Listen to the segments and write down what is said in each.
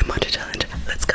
Emoji challenge. Let's go.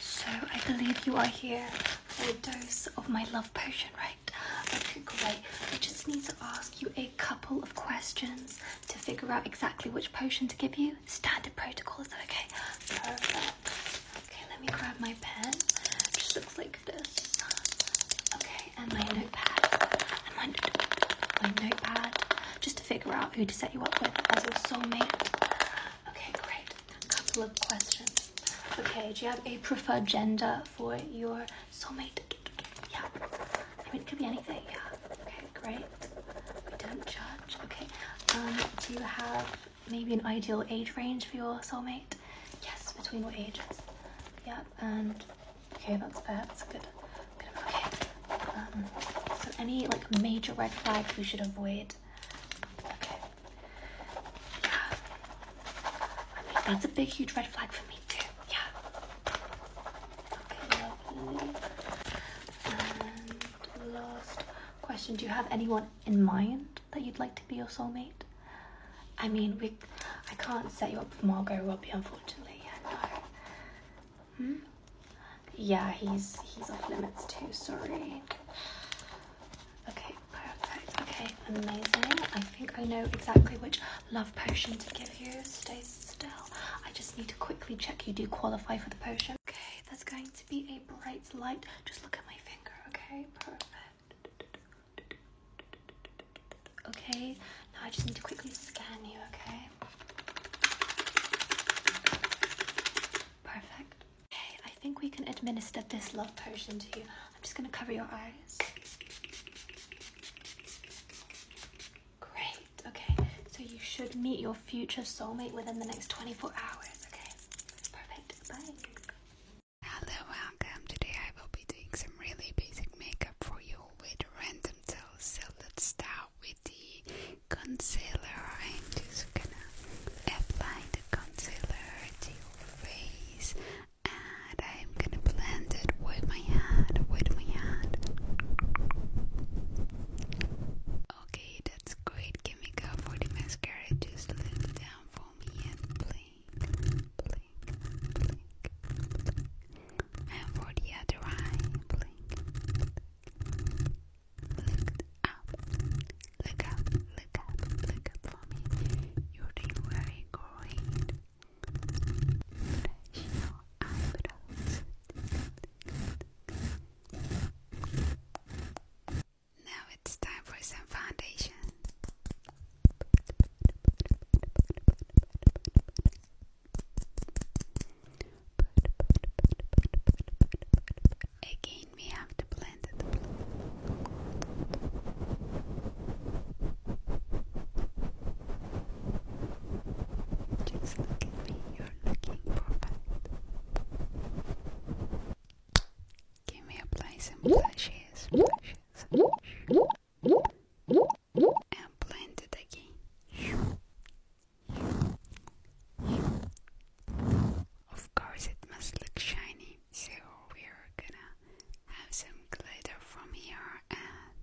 So I believe you are here for a dose of my love potion, right? Okay, great. I just need to ask you a couple of questions to figure out exactly which potion to give you. Standard protocol, is that okay? Perfect. Okay, let me grab my pen. just looks like this. Okay, and my notepad. my, my notepad. Just to figure out who to set you up with as your soulmate. Okay, great a couple of questions. Okay, do you have a preferred gender for your soulmate? Yeah. I mean, it could be anything. Yeah. Okay, great. We don't judge. Okay. Um, do you have maybe an ideal age range for your soulmate? Yes, between what ages? Yeah. And okay, that's fair. That's good. good. Okay. Um, so any like major red flags we should avoid that's a big, huge red flag for me, too. Yeah. Okay, lovely. And last question Do you have anyone in mind that you'd like to be your soulmate? I mean, we, I can't set you up with Margot Robbie, unfortunately. Yeah, Hmm? Yeah, he's he's off limits too. Sorry. Okay, perfect. Okay, amazing. I think I know exactly which love potion to give you. Stay still. I just need to quickly check you do qualify for the potion. Okay, that's going to be a bright light. Just look at my finger, okay? Perfect. Okay, now I just need to quickly scan you, okay? Perfect. Okay, I think we can administer this love potion to you. I'm just going to cover your eyes. Great, okay. So you should meet your future soulmate within the next 24 hours, okay? Perfect, bye. Hello, welcome. Today I will be doing some really basic makeup for you with random tools. So with the concealer. I'm just gonna apply concealer to your face and I'm gonna blend it with my hand, with my hand. Okay, that's great. Give me go for the mascara. Just let it down for me and blink, blink, blink. And for the other eye, blink, Look up, look up, look up, look up for me. You're doing very great. Now it's time for some foundation. Again, made me have to blend the Just look at me, you're looking perfect. Can we apply some blushes? Blushes. And blend it again. Of course it must look shiny, so we're gonna have some glitter from here and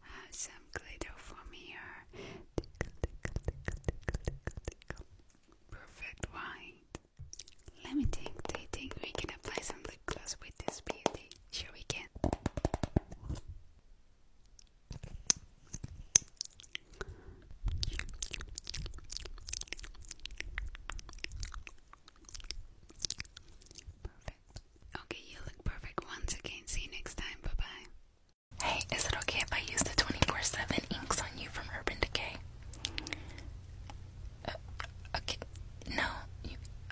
have some glitter from here. Perfect white. Let me think. They think we can apply some lip gloss with this beauty. Sure we can. Okay, you look perfect once again. See you next time. Bye bye. Hey, is it okay if I use the 24 7 inks on you from Urban Decay? Uh, okay, no.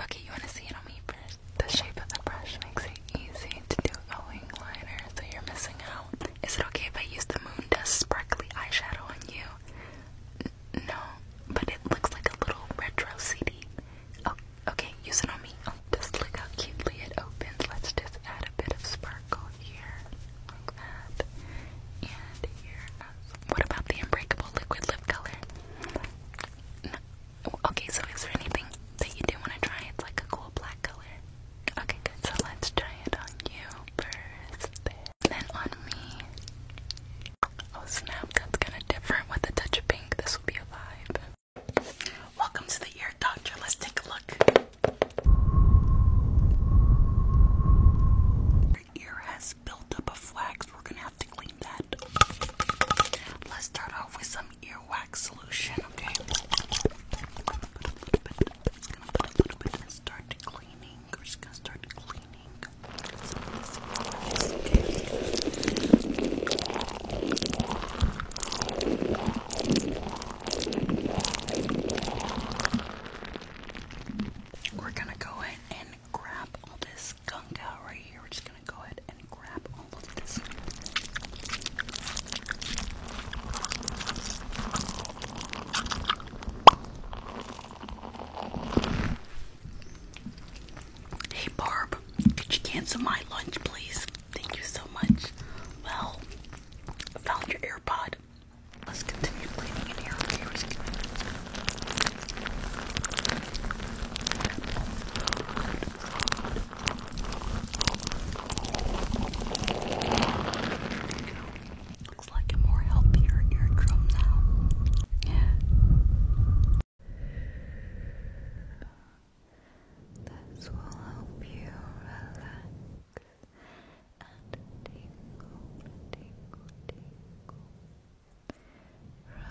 okay, you want to see it on me first? The shape of the brush makes it easy to do a liner, so you're missing out. Is it okay if I use the moon dust sparkly eyeshadow on you? no, but it looks like a little retro CD. Oh, okay, use it on me. Oh, just look how cutely it opens. Let's just add a bit of sparkle here, like that, and What about the unbreakable liquid lip color? No. Okay, so is there anything that you do want to try? It's like a cool black color. Okay, good. So let's try it on you first, then on me. Oh snap, that's kind of different with a touch of pink. This will be a vibe. Welcome to the ear doctor. Let's take a look. Your ear has built up of wax. We're gonna have to clean that. Let's start off with some earwax solution. We're just gonna start cleaning We're gonna go ahead and grab all this gunk out right here. We're just gonna go ahead and grab all of this Hey Barb, could you cancel my lunch, please? Thank you so much. Well, found your AirPod. Let's continue cleaning in here. Okay, we're just going Looks like a more healthier eardrum now. Yeah. This will help you relax and tingle, tingle, tingle. Relax,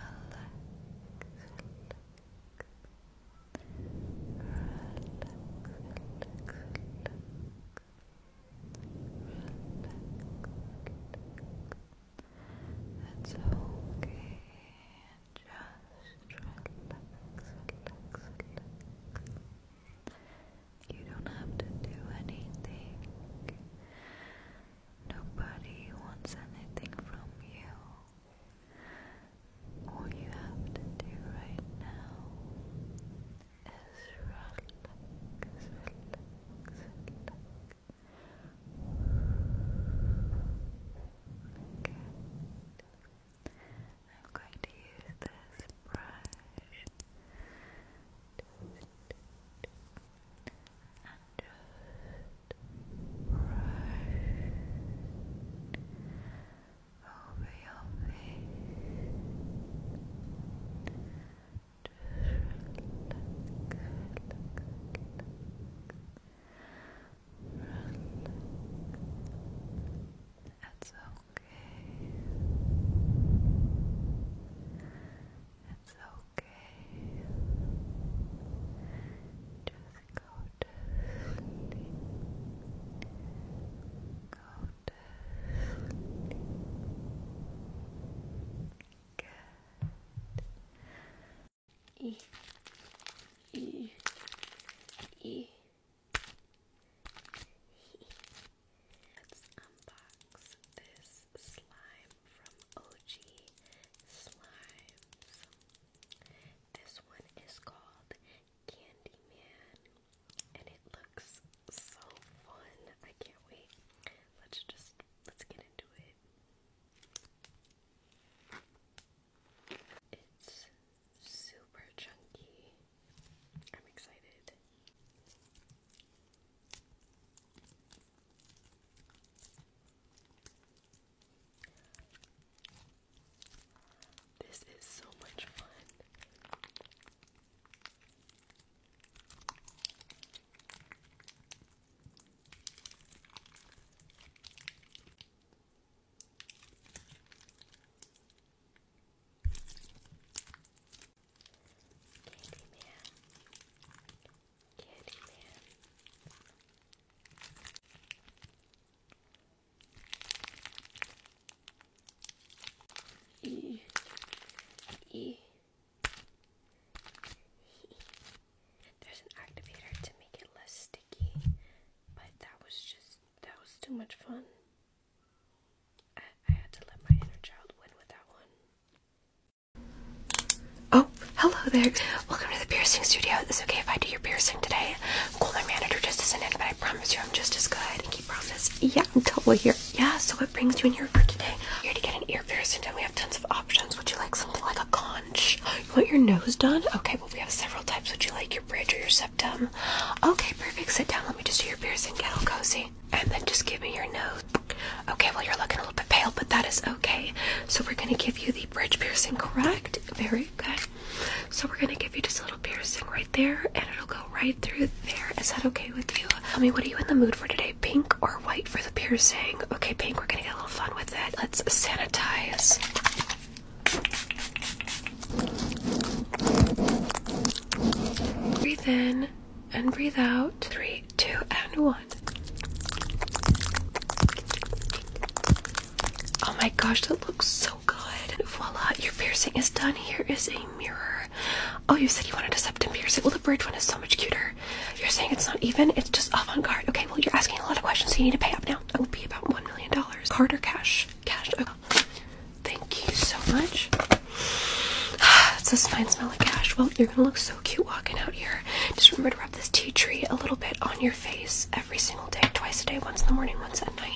it's okay. Just relax, relax, relax. You don't have to do anything. Nobody wants anything from you. All you have to do right now is relax, Okay. I'm going to use this brush and just brush over your face. It's okay. It's okay. Just go to sleep go E. E. E. Let's unbox this slime from OG Slimes. This one is called Candyman and it looks so fun. I can't wait. Let's just let's get into it. It's super chunky. I'm excited. This is so much fun. Candyman, Candyman, there's an activator to make it less sticky, but that was just that was too much fun. I had to let my inner child win with that one. Oh, hello there. Welcome to the piercing studio. Is it okay if I do your piercing today? my manager just isn't in, but I promise you I'm just as good. Keep promise. Yeah, I'm totally here. Yeah, so what brings you in here for today? Here to get an ear piercing done. We have tons of options. Would you like something like a conch? You want your nose done? Okay, well we have several types. Would you like your bridge or your septum? Okay, perfect. Sit down. Let me just do your piercing. Get all cozy. And then just give me your nose. Okay, well, you're looking a little bit pale, but that is okay. So, we're going to give you the bridge piercing, correct? Very good. So we're gonna give you just a little piercing right there, and it'll go right through there. Is that okay with you? Tell me, what are you in the mood for today? Pink or white for the piercing? Okay, pink. We're gonna get a little fun with it. Let's sanitize. Breathe in and breathe out. Three, two, and one. Oh my gosh, that looks so so good. Voila, your piercing is done. Here is a mirror. Oh, you said you wanted a septum piercing. Well, the bridge one is so much cuter. You're saying it's not even, it's just avant garde. Okay, well, you're asking a lot of questions, so you need to pay up now. It will be about $1 million. Card or cash? Cash. Thank you so much. It's a fine smell cash. Well, you're gonna look so cute walking out here. Just remember to rub this tea tree a little bit on your face every single day, twice a day, once in the morning, once at night.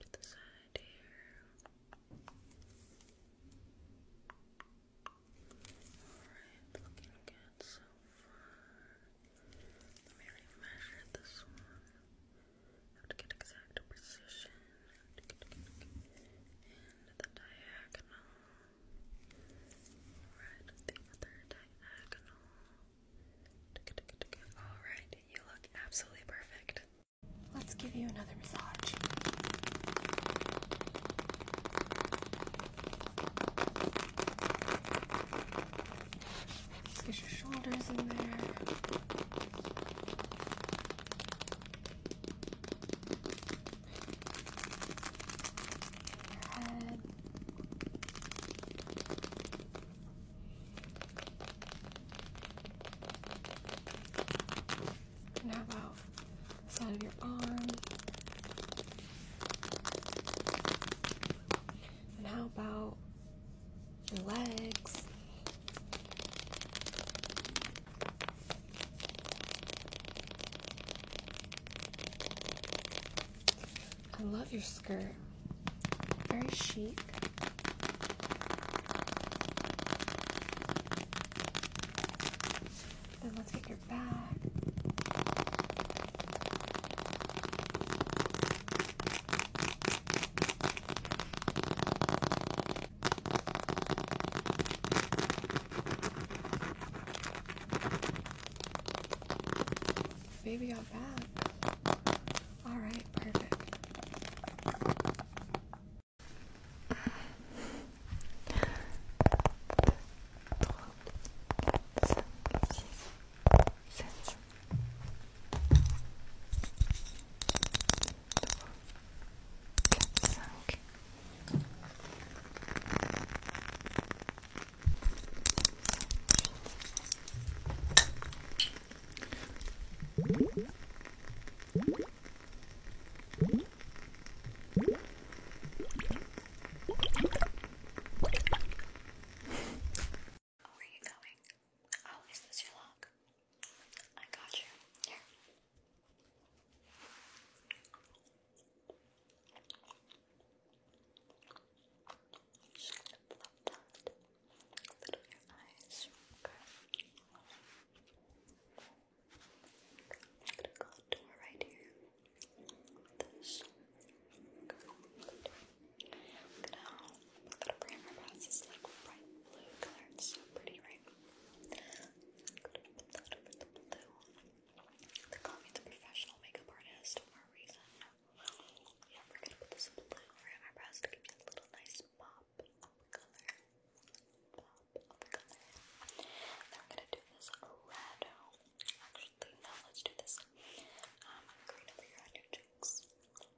to the side here. Alright, looking good so far. Let me measure this one. have to get exact precision. And the diagonal. Right, the other diagonal. Alright, you look absolutely perfect. Let's give you another massage. get your shoulders in there. Your head. And how about side of your arm? And how about your legs? I love your skirt. Very chic. Then let's get your bag baby got back. Alright, perfect. Oh, where are you going? Oh, is this your lock? I got you. Here. Just gonna plop that little your eyes. Okay. gonna go right here. This. Now, I'm gonna like bright blue color. It's so pretty, right? gonna put that over the blue. They call me the professional makeup artist for a reason. Yeah, we're gonna put this blue around our brows to give you a little nice pop of color. Pop of color. Now we're gonna do this red. Actually, no, let's do this. Um, green over here on your cheeks.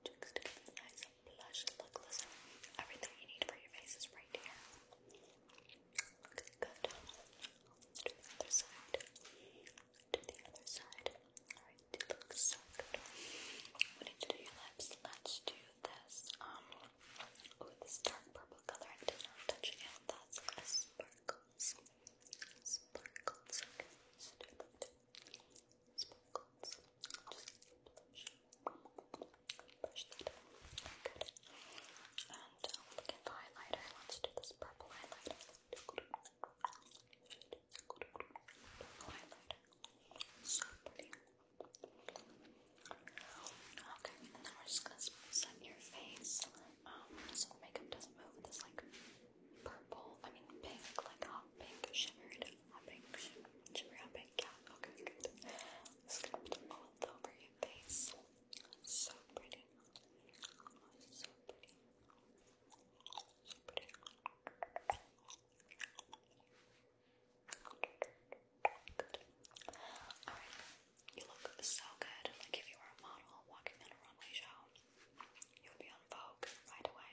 Cheeks to give you a nice blush look. Listen, everything you need for your face is right here. good. other side. To the other side. Alright, going to so good. We need to do your lips. Let's do this. Um, ooh, this dark purple color. I did not touch it. That's a sparkles. Sparkles. Okay, do that. Sparkles. Just brush that out. Good. And um, uh, looking for highlighter. Let's do this purple highlighter. Okay, and then we're just gonna spritz your face. Um, so makeup doesn't move this like purple, I mean pink, like hot pink, shimmered, hot pink, shimmer, hot pink, yeah, okay, good. Just gonna put them all over your face. So pretty. So pretty. Just You look so good. Like if you were a model walking on a runway show, you would be on Vogue right away.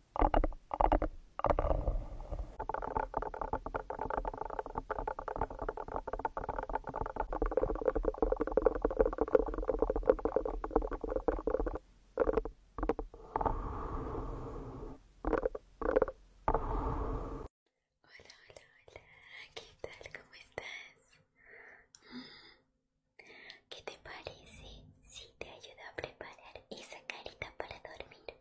Hola, hola, hola, ¿qué tal? ¿Cómo estás? ¿Qué te parece si te ayudo a preparar esa carita para dormir?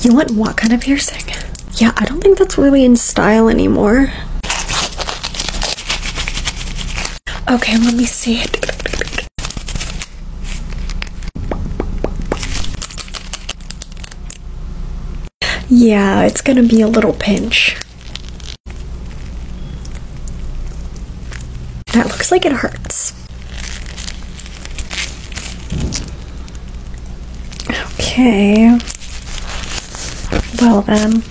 You want what kind of piercing? Yeah, I don't think that's really in style anymore. Okay, let me see it. Yeah, it's gonna be a little pinch. That looks like it hurts. Okay. Well then.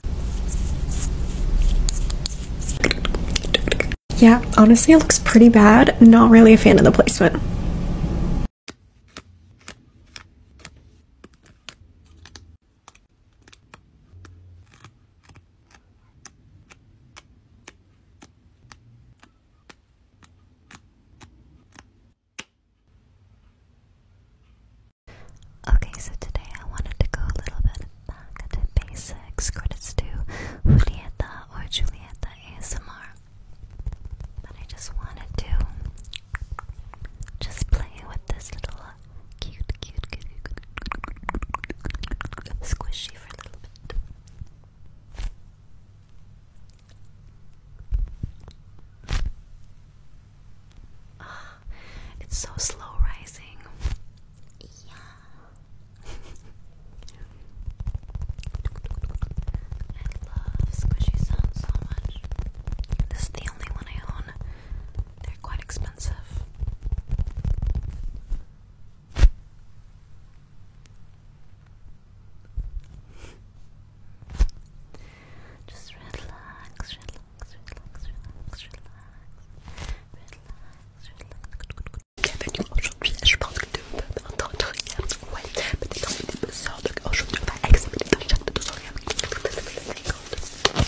Yeah, honestly it looks pretty bad. Not really a fan of the placement. Okay, so today I wanted to go a little bit back to basics. Credits to Julieta or Julieta ASMR. But I just wanted to just play with this little cute, cute, cute squishy for a little bit it's so slow rising. Yeah. I love squishy sounds so much. This is the only one I own. They're quite expensive. Just relax, relax, relax, relax, relax, relax. Bienvenue aujourd'hui, je pense de je vais avec mon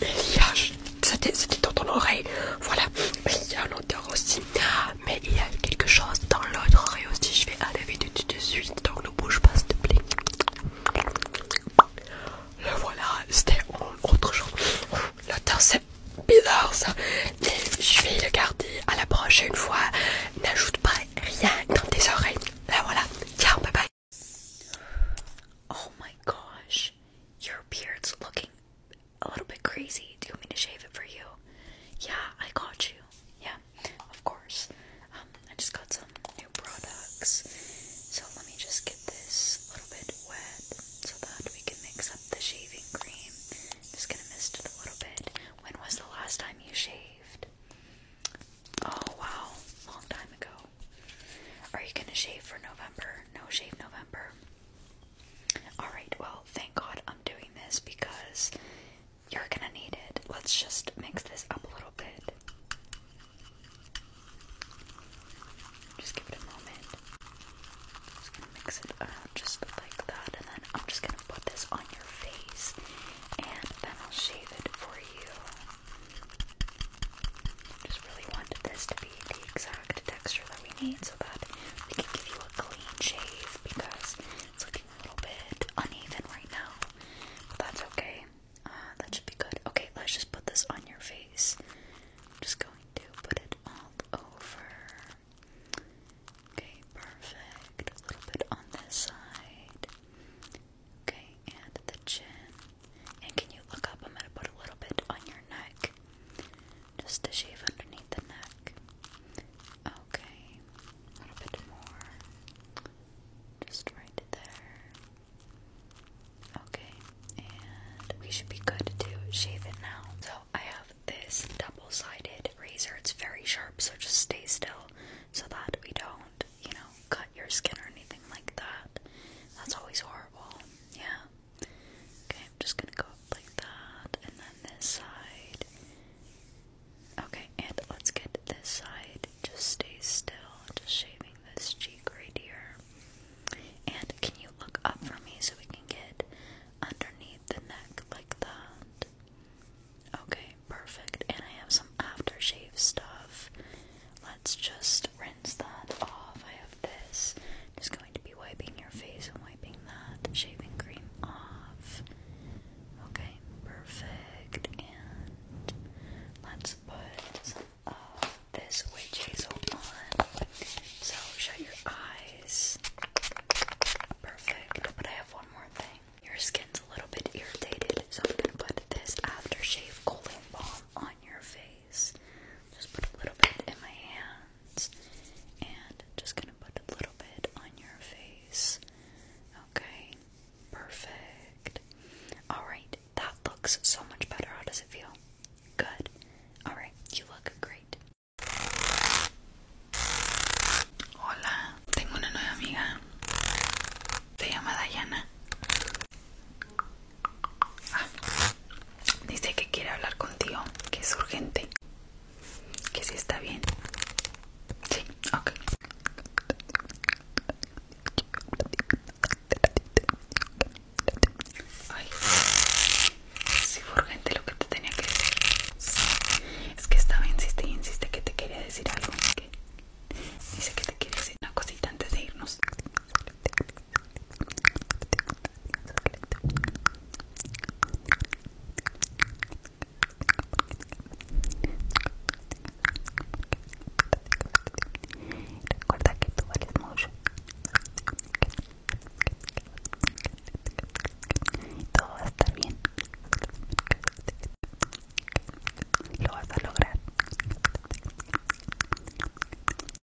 il y a, c'était dans ton oreille, voilà, mais il y a l'odeur aussi, mais il y a quelque chose dans l'autre oreille aussi, je vais enlever tout de, dessus suite, donc ne bouge pas s'il te plaît. Le voilà, c'était autre chose. L'odeur c'est bizarre ça, mais je vais le garder à la prochaine fois. N'ajoute pas rien dans tes oreilles. Là voilà, ciao, bye bye. Oh my gosh, your looking a little bit crazy. Do you want me to shave it for you? Yeah, I got you. Yeah, of course. Um, I just got some new products. So let me just get this a little bit wet so that we can mix up the shaving cream. just gonna mist it a little bit. When was the last time you shaved? Oh wow, long time ago. Are you gonna shave for November? No shave November. Alright, well, thank God I'm doing this because you're gonna need it. Let's just mix this up a little bit. Just give it a moment. Just gonna mix it up just like that, and then I'm just gonna put this on your face, and then I'll shave it for you. Just really wanted this to be the exact texture that we need so that we can give you a clean shave because it's looking a little bit uneven right now. But that's okay. Uh, that should be good. Okay, let's just put this on your face. I'm just going to put it all over. Okay, perfect. A little bit on this side. Okay, and the chin. And can you look up? I'm gonna put a little bit on your neck. Just to shave underneath the neck. Okay, a little bit more. Just right there. Okay, and we should be good to shave it now. So I have this double sided razor. It's very sharp, so just stay still so that we don't, you know, cut your skin or anything like that. That's always horrible. Yeah. Okay, I'm just gonna go up like that, and then this side. Okay, and let's get this side. Just stay still, just shaving this cheek right here. And can you look up for me so we can get underneath the neck like that? Okay, perfect. And I have some aftershave stuff. Let's just rinse that off. I have this. Just going to be wiping your face and wiping that shaving cream off. Okay, perfect. And let's put some of this witch hazel on. So shut your eyes. Perfect. But I have one more thing. Your skin's a little bit irritated, so I'm gonna put this aftershave cooling balm on your face face. Just put a little bit in my hands and just gonna put a little bit on your face. Okay, perfect. Alright, that looks so much better. How does it feel? Good. Alright, you look great. Hola, tengo una nueva amiga. Se llama Dayana. Ah. dice que quiere hablar contigo, que es urgente, que si está bien. Sí, ok. fue urgente lo que te tenía que decir. Es que estaba insistiendo insiste que te quería decir algo. dice que te quiere decir una cosita antes de irnos. Recuerda que tú vales mucho. Todo va a estar bien. Lo vas a lograr.